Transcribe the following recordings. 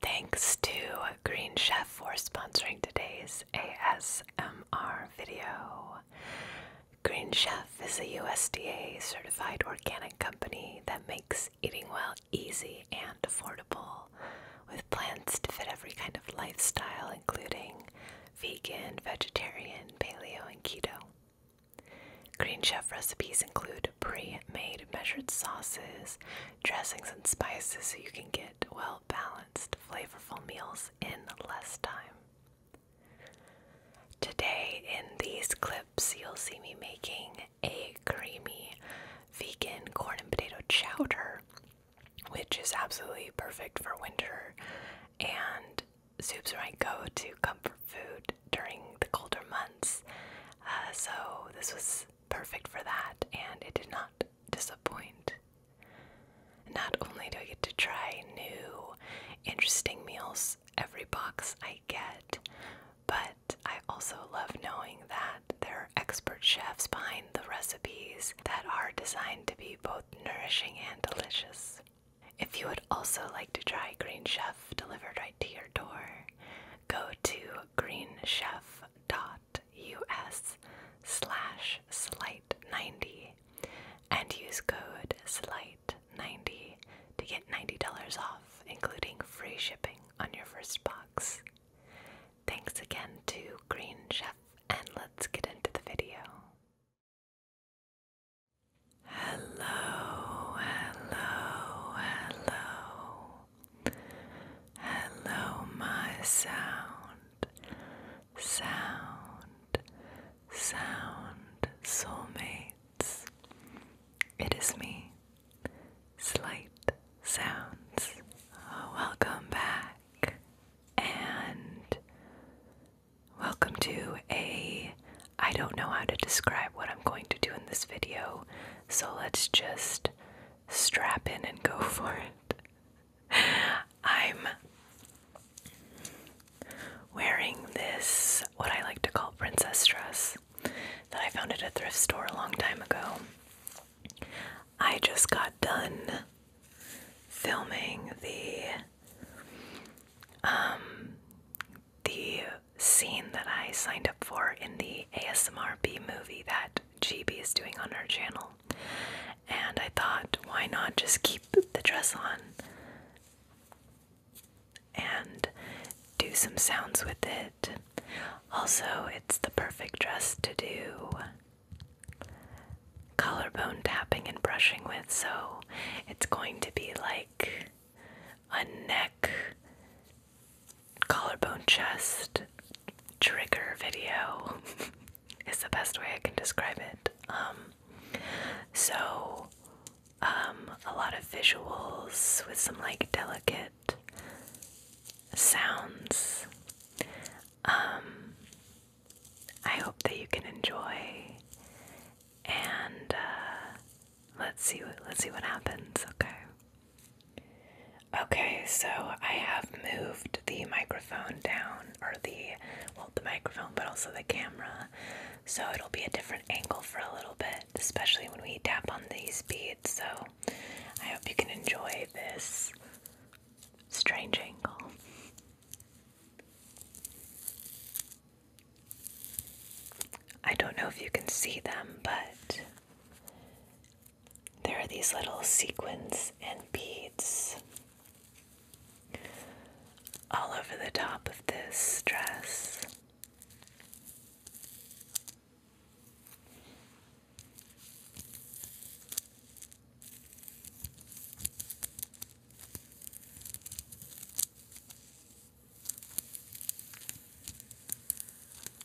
Thanks to Green Chef for sponsoring today's ASMR video. Green Chef is a USDA certified organic company that makes eating well easy and affordable with plans to fit every kind of lifestyle, including vegan, vegetarian, paleo, and keto. Green Chef recipes include pre-made measured sauces, dressings and spices so you can get well balanced, flavorful meals in less time. Today in these clips you'll see me making a creamy vegan corn and potato chowder which is absolutely perfect for winter and soups are I go-to comfort food during the colder months. Uh, so this was perfect for that, and it did not disappoint. Not only do I get to try new, interesting meals every box I get, but I also love knowing that there are expert chefs behind the recipes that are designed to be both nourishing and delicious. If you would also like to try Green Chef delivered right to your door, go to Green Chef dot us slash slight 90 and use code slight 90 to get $90 off, including free shipping on your first box. Thanks again to Green Chef, and let's get into the video. Hello, hello, hello. Hello, my sound, sound, sound soulmates. It is me, Slight Sounds. Oh, welcome back, and welcome to a. I don't know how to describe what I'm going to do in this video, so let's just strap in and go for it. I'm wearing this, what I like to call princess dress, that I found at a thrift store a long time ago. I just got done filming the um the scene that I signed up for in the ASMR B movie that GB is doing on her channel. And I thought, why not just keep the dress on and do some sounds with it? Also, it's the perfect dress to do collarbone tapping and brushing with, so it's going to be like a neck collarbone chest trigger video is the best way I can describe it. Um, so, um, a lot of visuals with some like delicate sounds. Um, I hope that you can enjoy, and uh, let's see what let's see what happens. Okay. Okay, so I have moved the microphone down, or the, well, the microphone, but also the camera. So it'll be a different angle for a little bit, especially when we tap on these beads. So I hope you can enjoy this strange angle. I don't know if you can see them, but there are these little sequins and beads all over the top of this dress.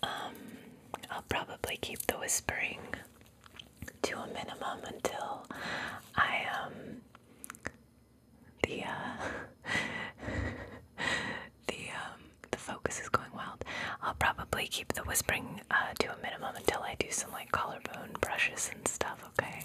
Um, I'll probably keep the whispering to a minimum until I um the uh the um the focus is going wild. I'll probably keep the whispering uh, to a minimum until I do some like collarbone brushes and stuff. Okay.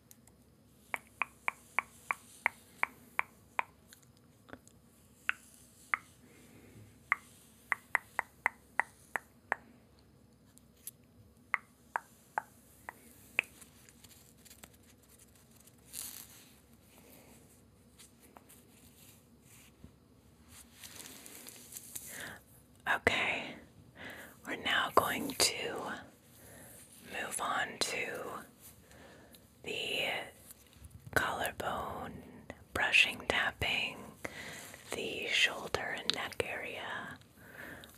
Okay, we're now going to move on to the collarbone brushing, tapping the shoulder and neck area.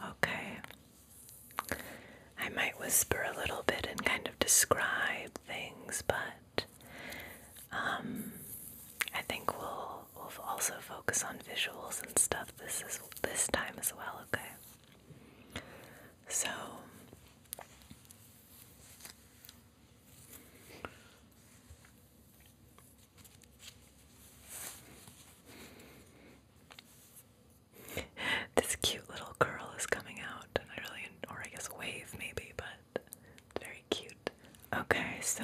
Okay. I might whisper a little bit and kind of describe things, but um, I think we'll we'll also focus on visuals and stuff this is this time as well. Okay. So this cute little curl is coming out, I really, or I guess wave maybe, but very cute. Okay, so.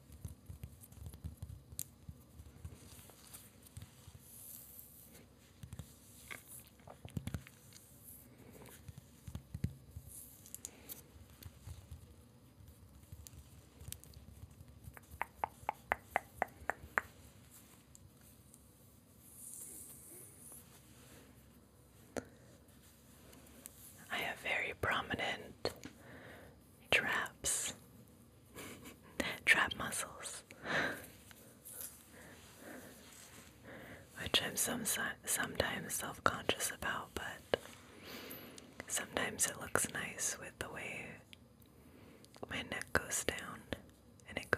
I have very prominent traps, trap muscles, which I'm some, sometimes self conscious about, but sometimes it looks nice with the way my neck goes down and it goes.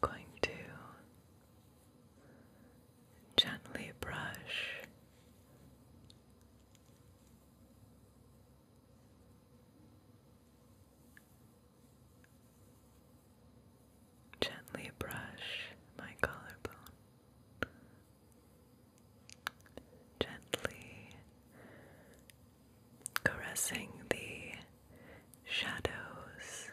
Going to gently brush Gently brush my collarbone. Gently caressing the shadows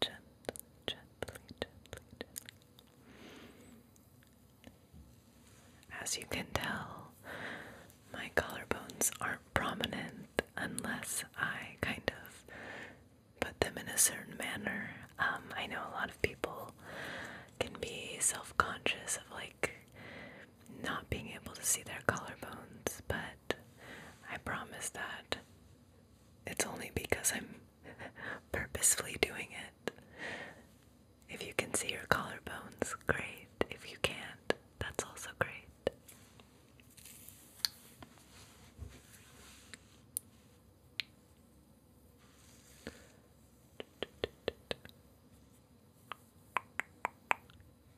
gently, gently, gently, As you can tell, my collarbones aren't prominent unless I kind of put them in a certain manner. Um, I know a lot of people can be self conscious of like not being able to see their collarbones, but I promise that it's only because I'm purposefully doing it. If you can see your collarbones, great. If you can't, that's also great.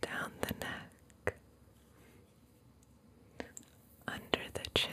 down the neck, under the chin,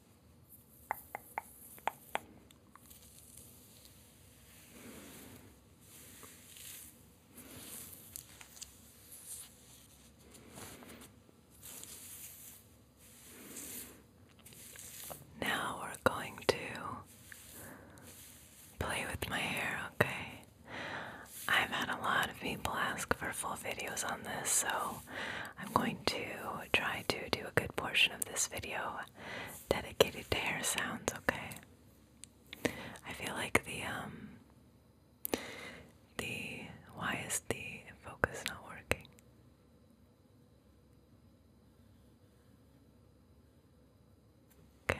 Now we're going to play with my hair, okay? I've had a lot of people ask for full videos on this, so I'm going to try to do a good portion of this video dedicated to hair sounds, okay? I feel like the, um, the, why is the focus not working? Okay.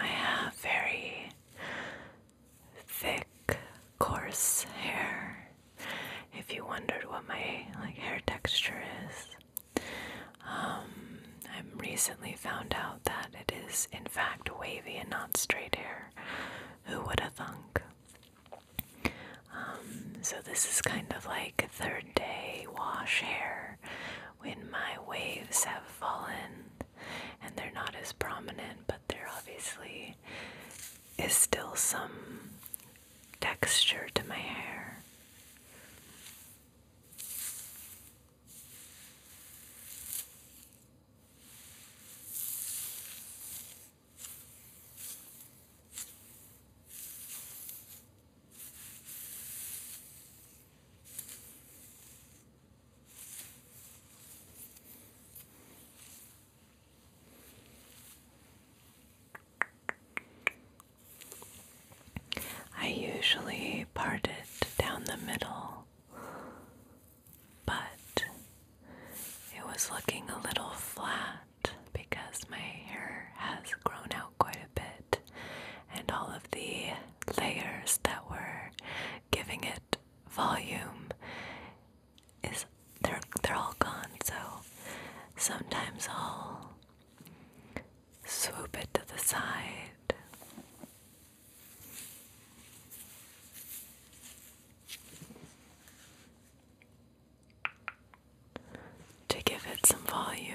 I have very thick, coarse hair. If you wondered what my like hair texture is, um, I've recently found out that it is, in fact, wavy and not straight hair. Who would have thunk? Um, so, this is kind of like third day wash hair when my waves have fallen and they're not as prominent, but there obviously is still some texture to my hair. I usually part it down the middle but it was looking a little flat because my hair has grown out quite a bit, and all of the layers that were giving it volume is they're they're all gone. So sometimes I'll swoop it to the side to give it some volume.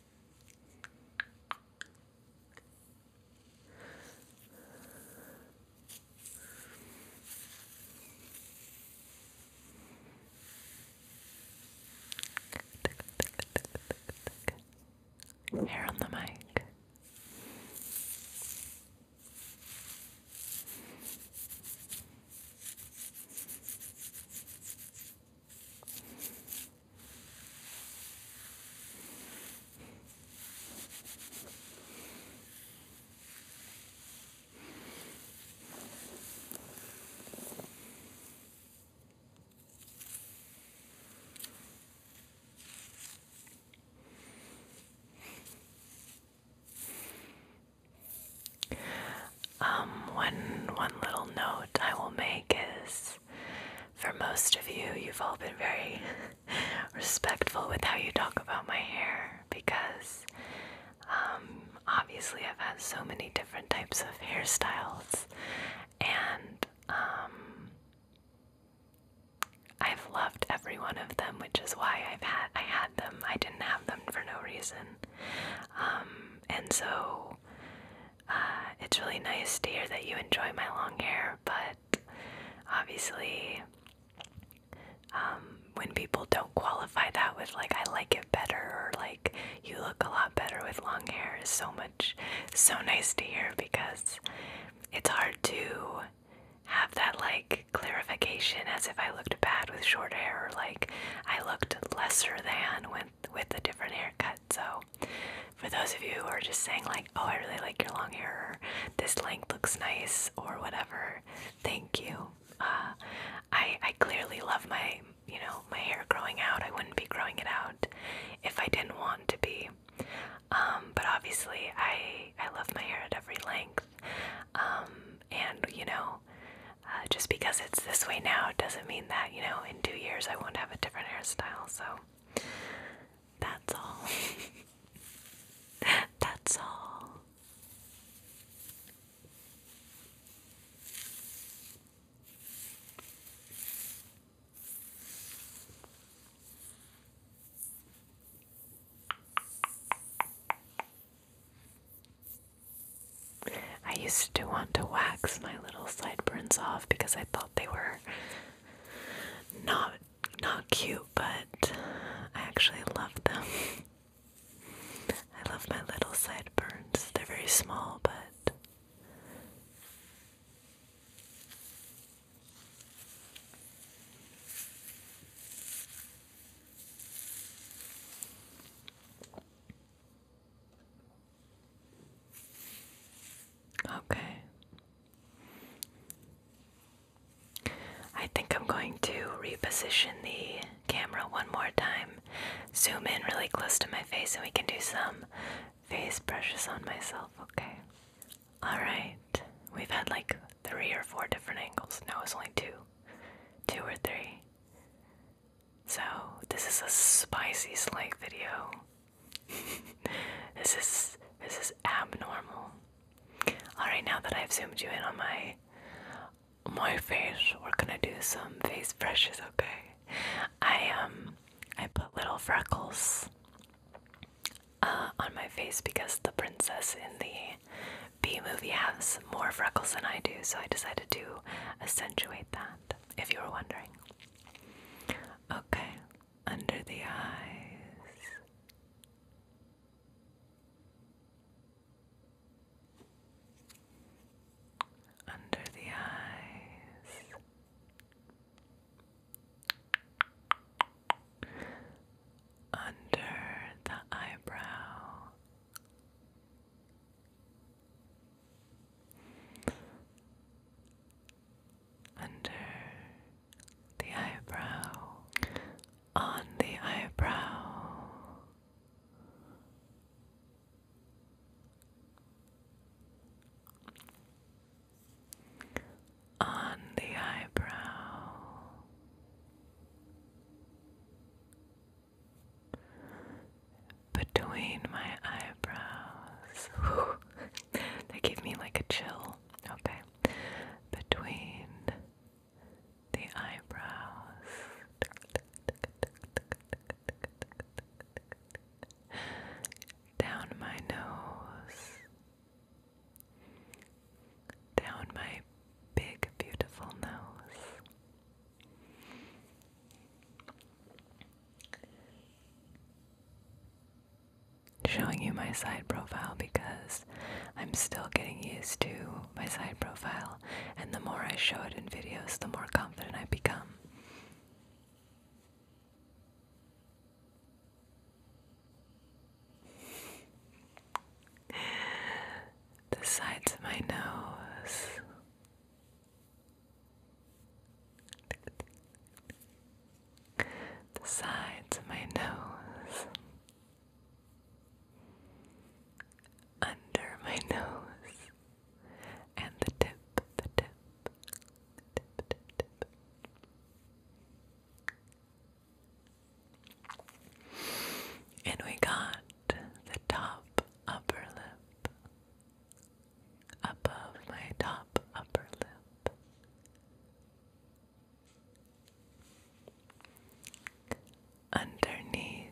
Hair on the mic. Um, one one little note I will make is for most of you, you've all been very respectful with how you talk about my hair because um, obviously I've had so many different types of hairstyles and um, I've loved every one of them, which is why I've had I had them. I didn't have them for no reason, um, and so uh, it's really nice to hear that you enjoy my long hair, but obviously, um, when people don't qualify that with, like, I like it better, or like, you look a lot better with long hair, is so much, so nice to hear because it's hard to have that, like, clarification as if I looked bad with short hair, or like, I looked lesser than when with a different haircut. So, for those of you who are just saying, like, oh, I really like your long hair, this length looks nice, or whatever, thank you. Uh, I, I clearly love my, you know, my hair growing out. I wouldn't be growing it out if I didn't want to be. Um, but obviously, I, I love my hair at every length. Um, and, you know, uh, just because it's this way now doesn't mean that, you know, in two years I want to have a different hairstyle, so that's all. that's all. I used to want to wax my little sideburns off because I thought they were not not cute, but I actually love them. I love my little sideburns. They're very small, but Okay. I think I'm going to reposition the camera one more time. Zoom in really close to my face, and we can do some face brushes on myself, okay? Alright. We've had like three or four different angles. Now it's only two. Two or three. So, this is a spicy Slake video. this is this is abnormal. Alright, now that I've zoomed you in on my my face, we're gonna do some face brushes, okay? I um I put little freckles uh, on my face because the princess in the B movie has more freckles than I do, so I decided to accentuate that, if you were wondering. Okay, under the eyes. Under the eyes. Under the eyebrow under the eyebrow, on the eyebrow. On the eyebrow, between my eyebrows. they gave me like a chill. Okay. Between the eyebrows. Down my nose. Down my big, beautiful nose showing you my side profile because I'm still getting used to my side profile, and the more I show it in videos, the more confident I become. The sides of my nose the sides of my nose, under my nose, and the tip, the tip, And we got the top upper lip above my top upper lip. Underneath,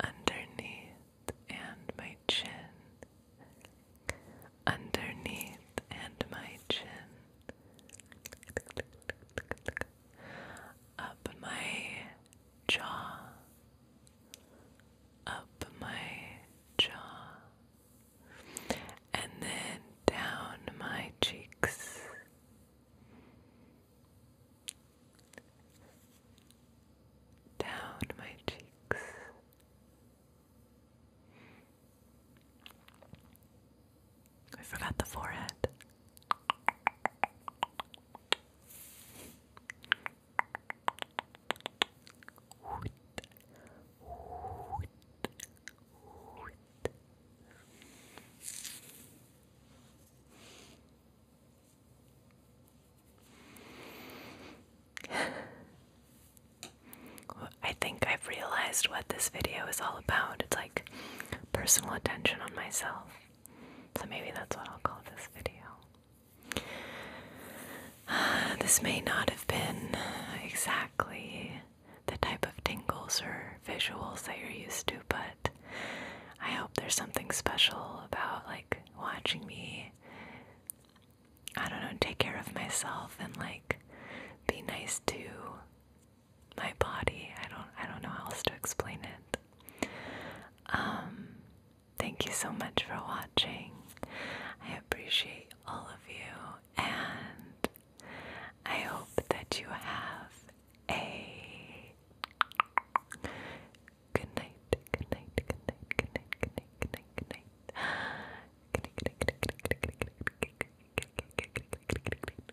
underneath, and my chin. Underneath, and my chin. Up my jaw, up my jaw and then down my cheeks. Down my cheeks. I forgot the forehead. I think I've realized what this video is all about. It's like personal attention on myself. So maybe that's what I'll call this video. This may not have been exactly the type of tingles or visuals that you're used to, but I hope there's something special about like watching me, I don't know, take care of myself and like be nice to my body. I don't I don't know how else to explain it. Um Thank you so much for watching. I appreciate all of you, and I hope that you have a good night. Good night. Good night. Good night. Good night. Good night. Good night. Good night. Good night. Good night.